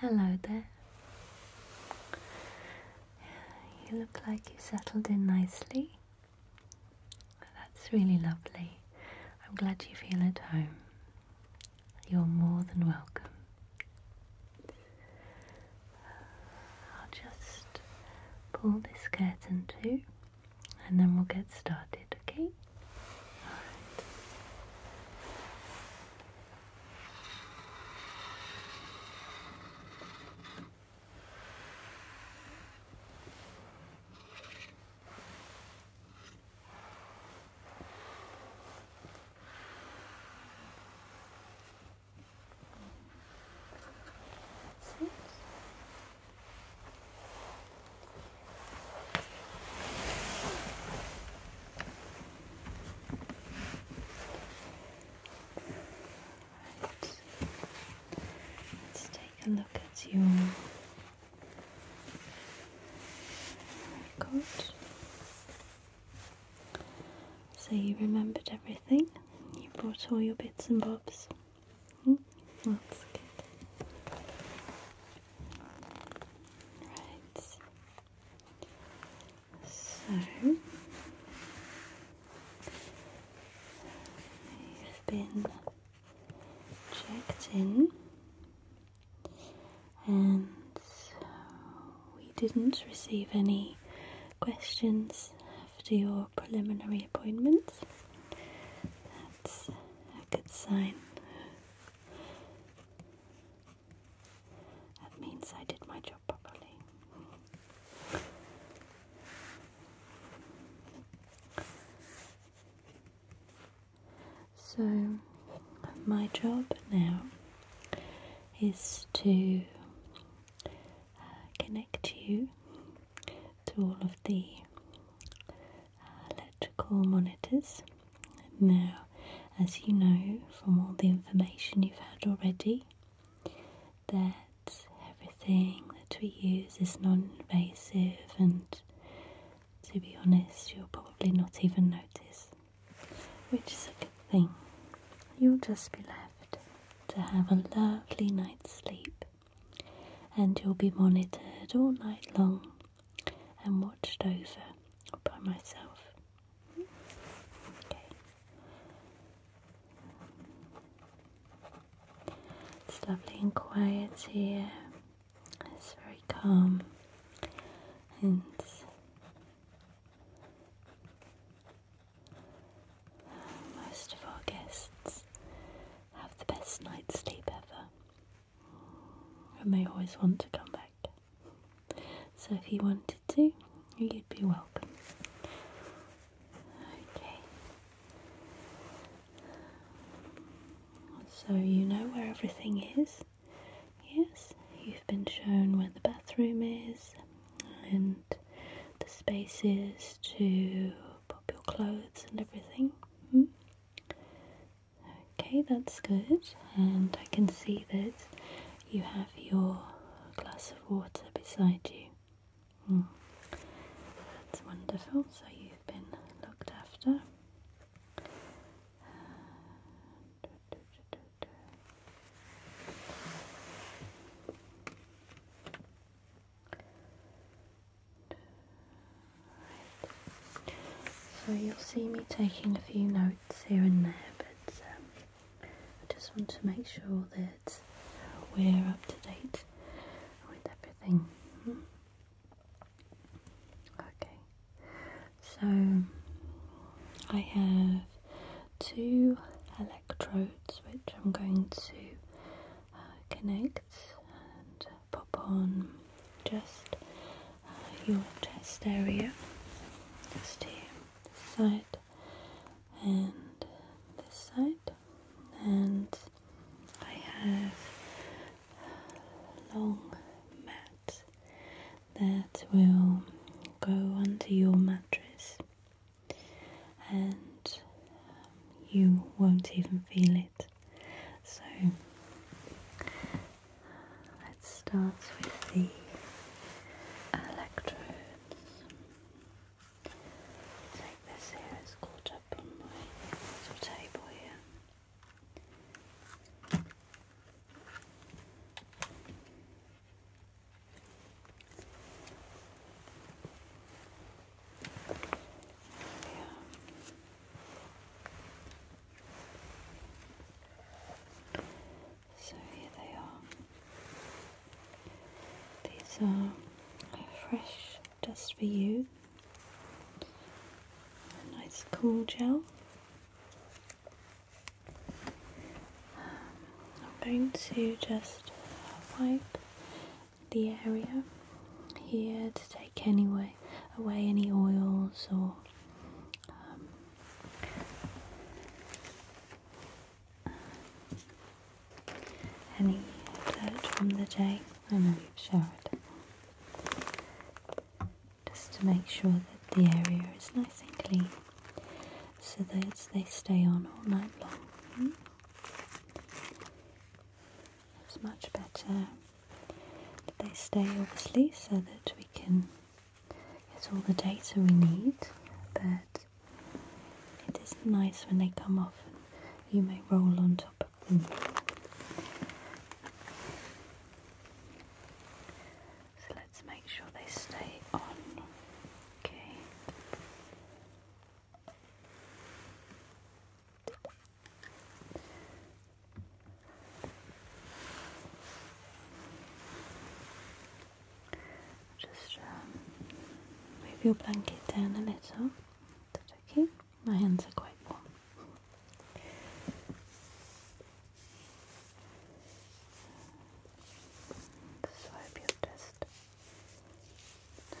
Hello there. You look like you settled in nicely. That's really lovely. I'm glad you feel at home you're more than welcome. I'll just pull this curtain too and then we'll get started, okay? Six. Right. Let's take a look at your record. So you remembered everything? You brought all your bits and bobs? Hmm? that's good. Right. So, you've been checked in and we didn't receive any questions after your preliminary appointment. That's a good sign. That means I did my job properly. So, my job now is to uh, connect you to all of the uh, electrical monitors. Now, as you know from all the information you've had already, that everything that we use is non invasive, and to be honest, you'll probably not even notice which is a good thing. You'll just be left to have a lovely night's sleep, and you'll be monitored all night long and watched over by myself. It's lovely and quiet here. It's very calm and most of our guests have the best night's sleep ever and they always want to come back. So if you wanted to, you'd be welcome. Okay. So you know where everything is. Yes, you've been shown where the bathroom is and the spaces to pop your clothes and everything. Hmm? Okay, that's good. And I can see that you have your glass of water beside you. Hmm. That's wonderful. So you've been looked after. So you'll see me taking a few notes here and there, but um, I just want to make sure that we're up to date with everything. Hmm? Okay, so I have two electrodes which I'm going to uh, connect and pop on just uh, your chest area, just here, this side and this side, and I have long mat that will go under your mattress and um, you won't even feel it. So let's start with the electrodes. Take this here, it's caught up on my table here. So here they are. These are fresh just for you nice cool gel. Um, I'm going to just wipe the area here to take anyway away any oils or um, any dirt from the day. I know you've showered just to make sure that the area is nice and clean so that they stay on all night long. It's hmm? much better that they stay obviously so that we can get all the data we need but it is nice when they come off and you may roll on top so let's make sure they stay on. Okay. Just um, move your blanket down a little. Is that okay? My hands are quite warm. Swipe your chest. Good.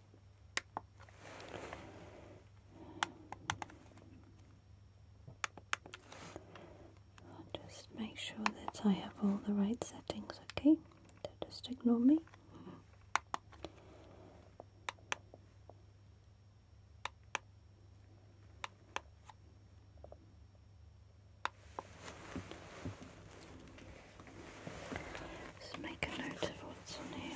I'll just make sure that I have all the right settings, okay? just ignore me. Just make a note of what's on here.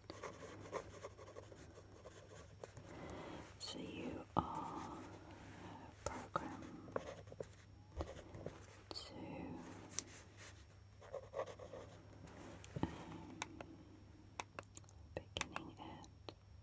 So you are programmed to beginning at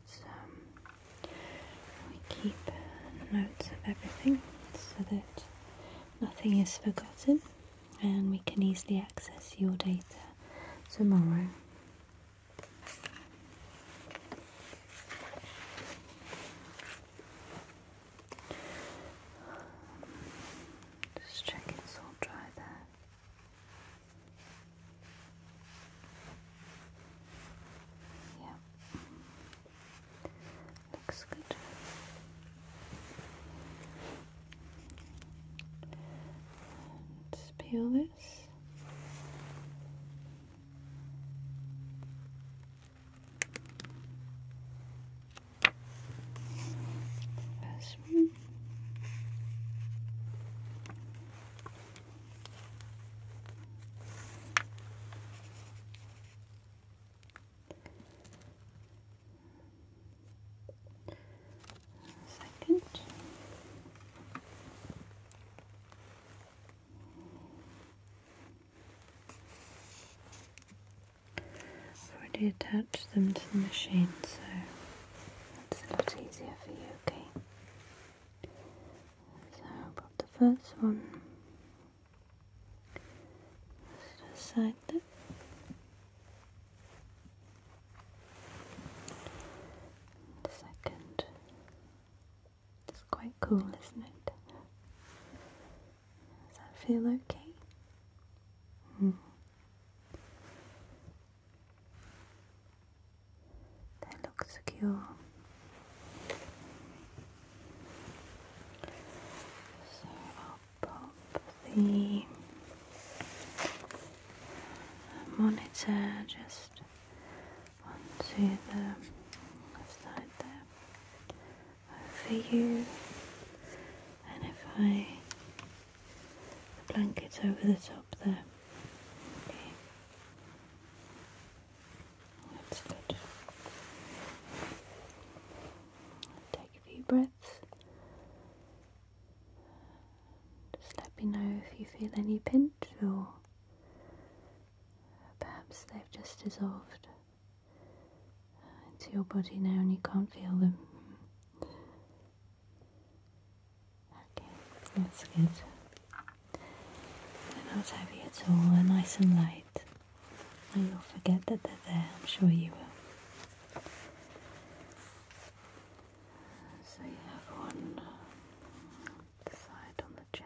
notes. Um, we keep notes of everything so that nothing is forgotten and we can easily access your data tomorrow. Just check it's all dry there. Yeah. Looks good. Let's peel this. First one. Second. I've already attached them to the machine, so that's a lot easier for you, okay? So pop the first one just The second. It's quite cool, isn't it? Does that feel okay? Hmm. They look secure. So I'll pop the monitor just onto the side there over you. And if I the blankets over the top there. That's good. Take a few breaths. Just let me know if you feel any pinch or perhaps they've just dissolved into your body now and you can't feel them. Okay, that's good. They're not heavy at all, they're uh, nice and light. And you'll forget that they're there, I'm sure you will. So you have one side on the chest.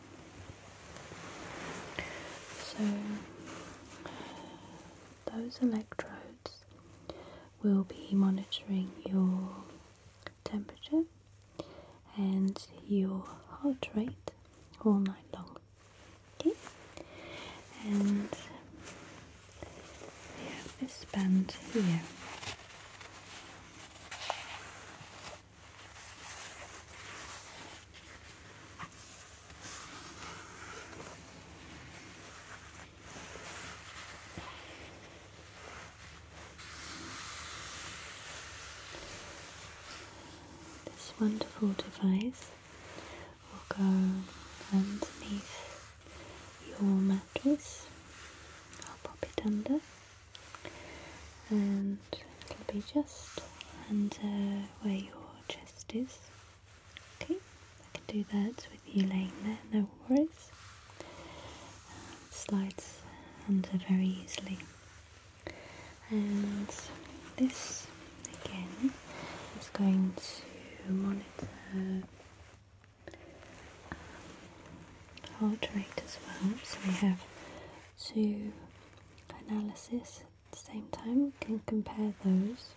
So those electrodes will be monitoring your temperature and your heart rate all night long. Okay? And we have this band here. This wonderful device will go underneath your mattress. I'll pop it under and it'll be just under where your chest is. Okay, I can do that with you laying there, no worries. It slides under very easily. And this again is going to monitor um, heart rate as well. So we have two analysis at the same time, we can compare those.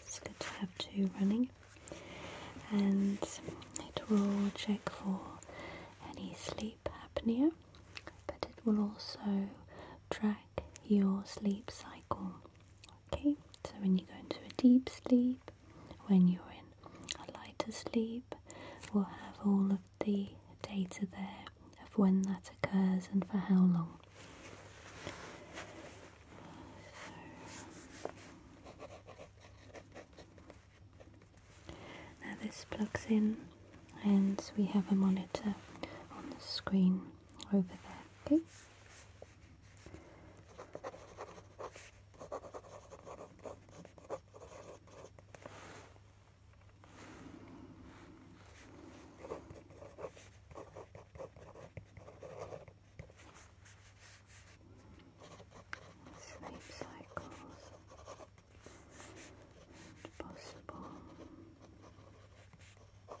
It's good to have two running, and it will check for any sleep apnea, but it will also track your sleep cycle. Okay, so when you go into a deep sleep, when you're in a lighter sleep, we'll have all of the data there of when that occurs and for how long. Now this plugs in and we have a monitor on the screen over there. Okay. Sleep cycles possible. Okay.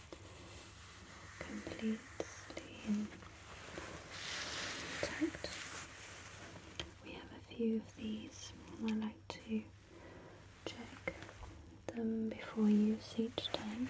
completely intact. We have a few of these, and I like to check them before use each time.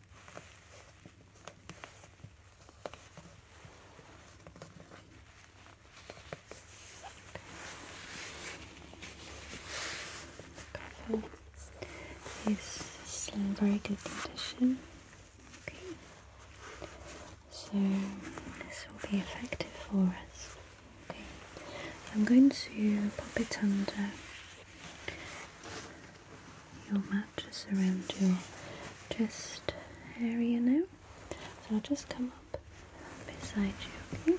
This is in very good condition. Okay. So this will be effective for us. Okay. I'm going to pop it under your mattress around your chest area now. So I'll just come up beside you, okay?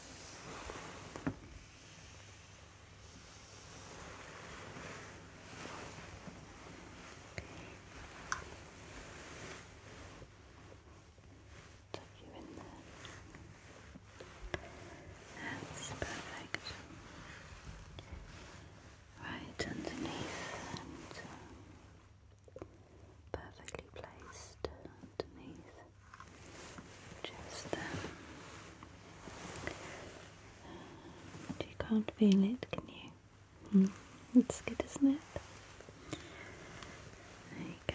Tuck you in there. That's perfect. Right underneath perfectly placed underneath just there. you can't feel it, can you? Hmm. It's good, isn't it? There you go.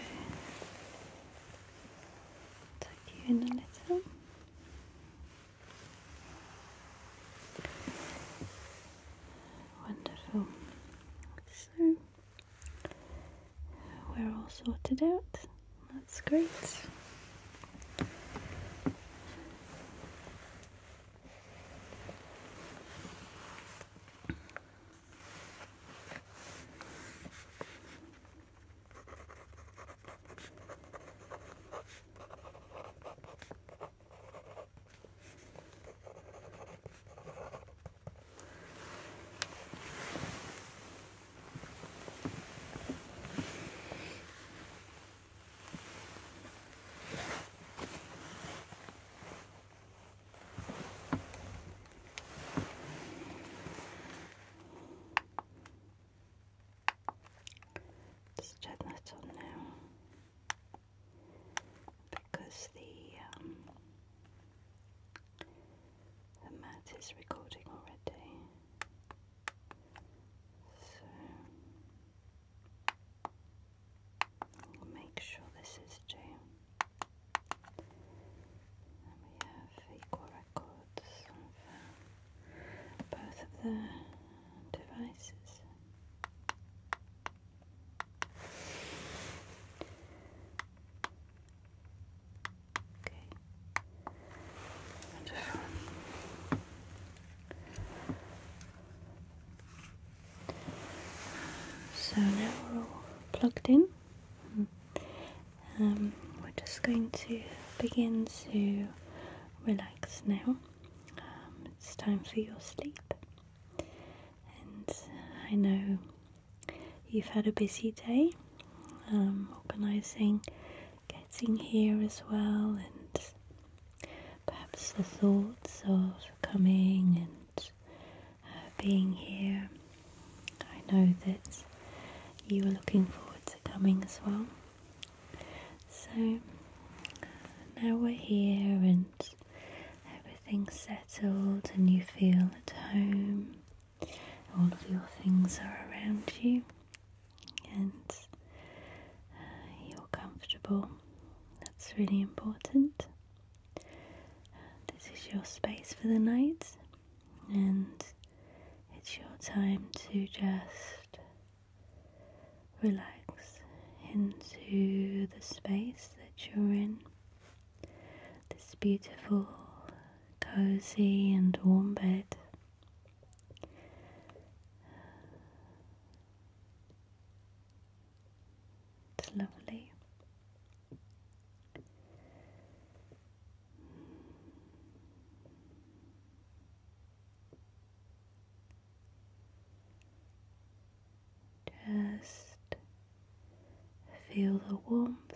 Tuck you in a little. Wonderful. So we're all sorted out. That's great. Just turn that on now because the um, is recording already. So make sure this is due. we have equal records of uh, both of the devices. Okay. Wonderful. So now we're all plugged in. Um, we're just going to begin to relax now. Um, it's time for your sleep, and I know you've had a busy day um, organising, getting here as well, and perhaps the thoughts of coming and uh, being here. I know that you were looking forward to coming as well. So now we're here and everything's settled, and you feel at home. All of your things are around you, and uh, you're comfortable. That's really important. This is your space for the night, and it's your time to just relax into the space that you're in this beautiful, cozy, and warm bed. It's lovely. Just feel the warmth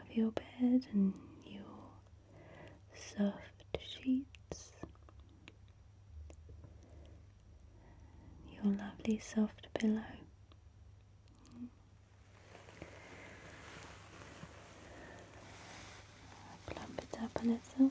of your bed and your soft sheets, your lovely soft pillow. Plump it up a little.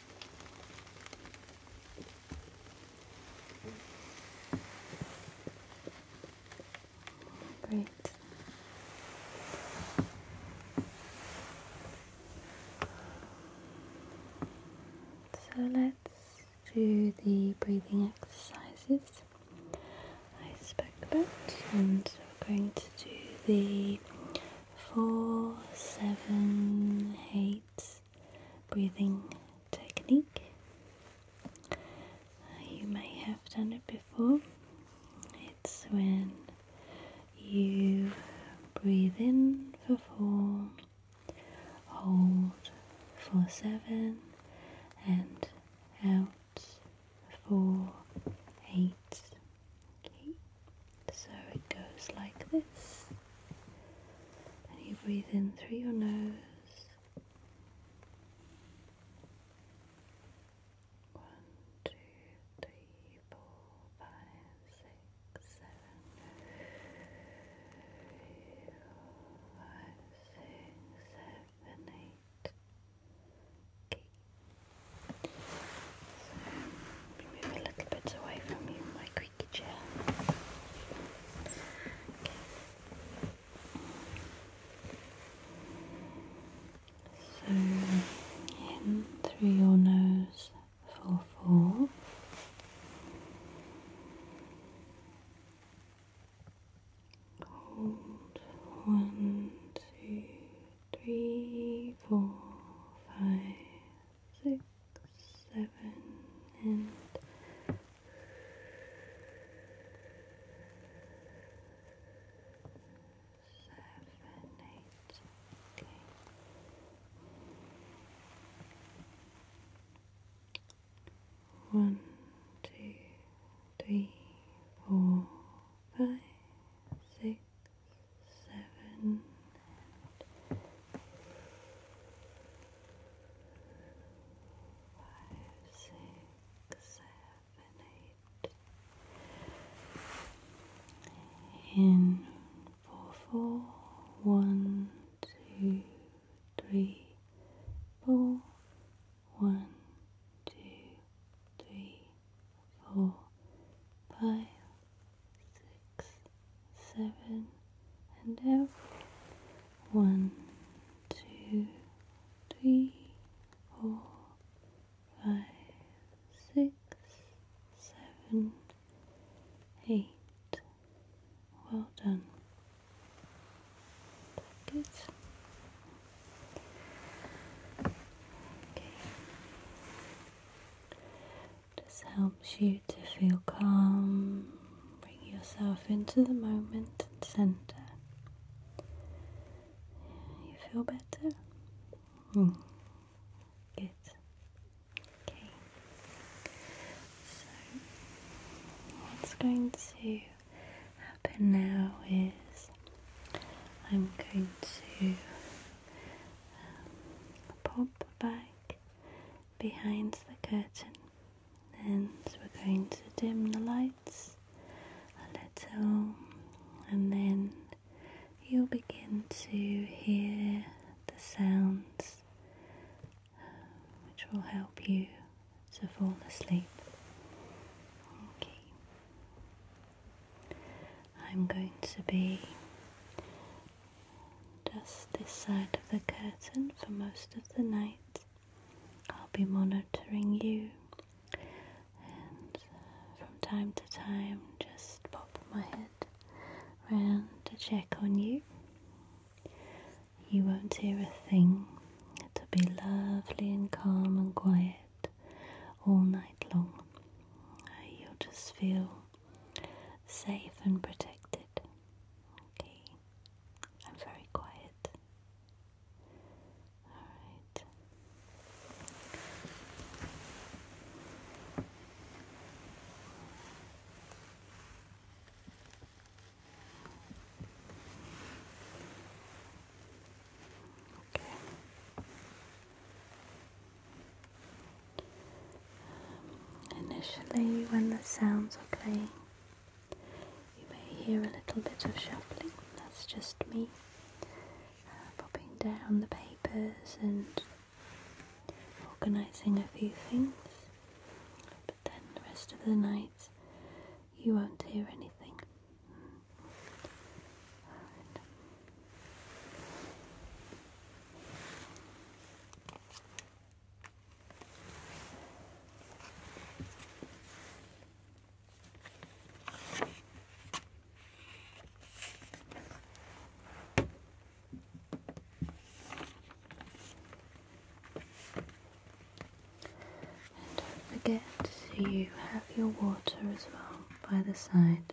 Great. So let's do the breathing exercises I spoke about, and we're going to do the four, seven, eight breathing technique. Uh, you may have done it before. It's when you breathe in for four, hold for seven, and out for eight so it goes like this. And you breathe in through your nose. One, two, three, four, five, six, seven, five, six, seven, eight move a little bit away from you, my creaky chair. So, in through your nose four, four. Hold one, two, three, four, five, six, seven, and seven, eight. Okay. One, two, three, four, five, six, seven, and five, six, seven, eight, in four, four, one, two, three, four, one, two, three, four, five, six, seven, and out. One, two, three, four, five, six, seven, eight. Well done. Good. Okay. This helps you to feel calm, bring yourself into the moment and center. You feel better? Hmm. Good. Okay. So, what's going to happen now is I'm going to pop back behind the curtain and we're going to dim the lights a little and then you'll begin to hear the sounds which will help you to fall asleep. Okay. I'm going to be just this side of the curtain for most of the night. I'll be monitoring you and from time to time just pop my head round to check on you. You won't hear a thing. It'll be lovely and calm and quiet all night long. You'll just feel safe and protected. Okay, I'm very quiet. Alright. Okay initially, when the sounds are playing, you may hear a little bit of shuffling. That's just me uh, popping down the papers and organising a few things. But then the rest of the night, you won't hear anything don't forget you have your water as well by the side.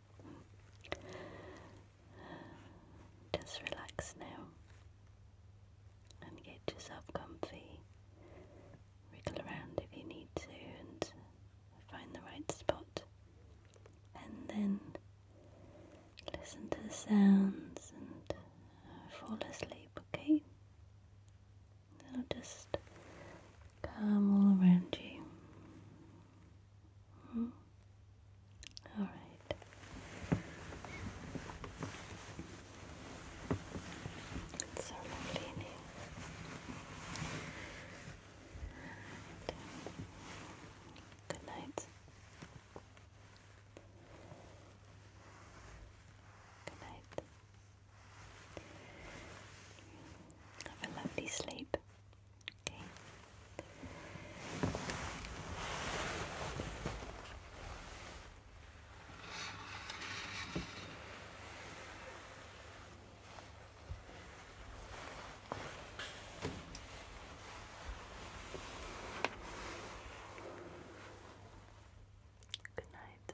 Just relax now and get yourself comfy. Wriggle around if you need to and find the right spot. And then listen to the sounds and fall asleep, okay? It'll just calm all around you. Hmm? All right. It's so lovely good night. Good night. Have a lovely sleep. Okay. Good night.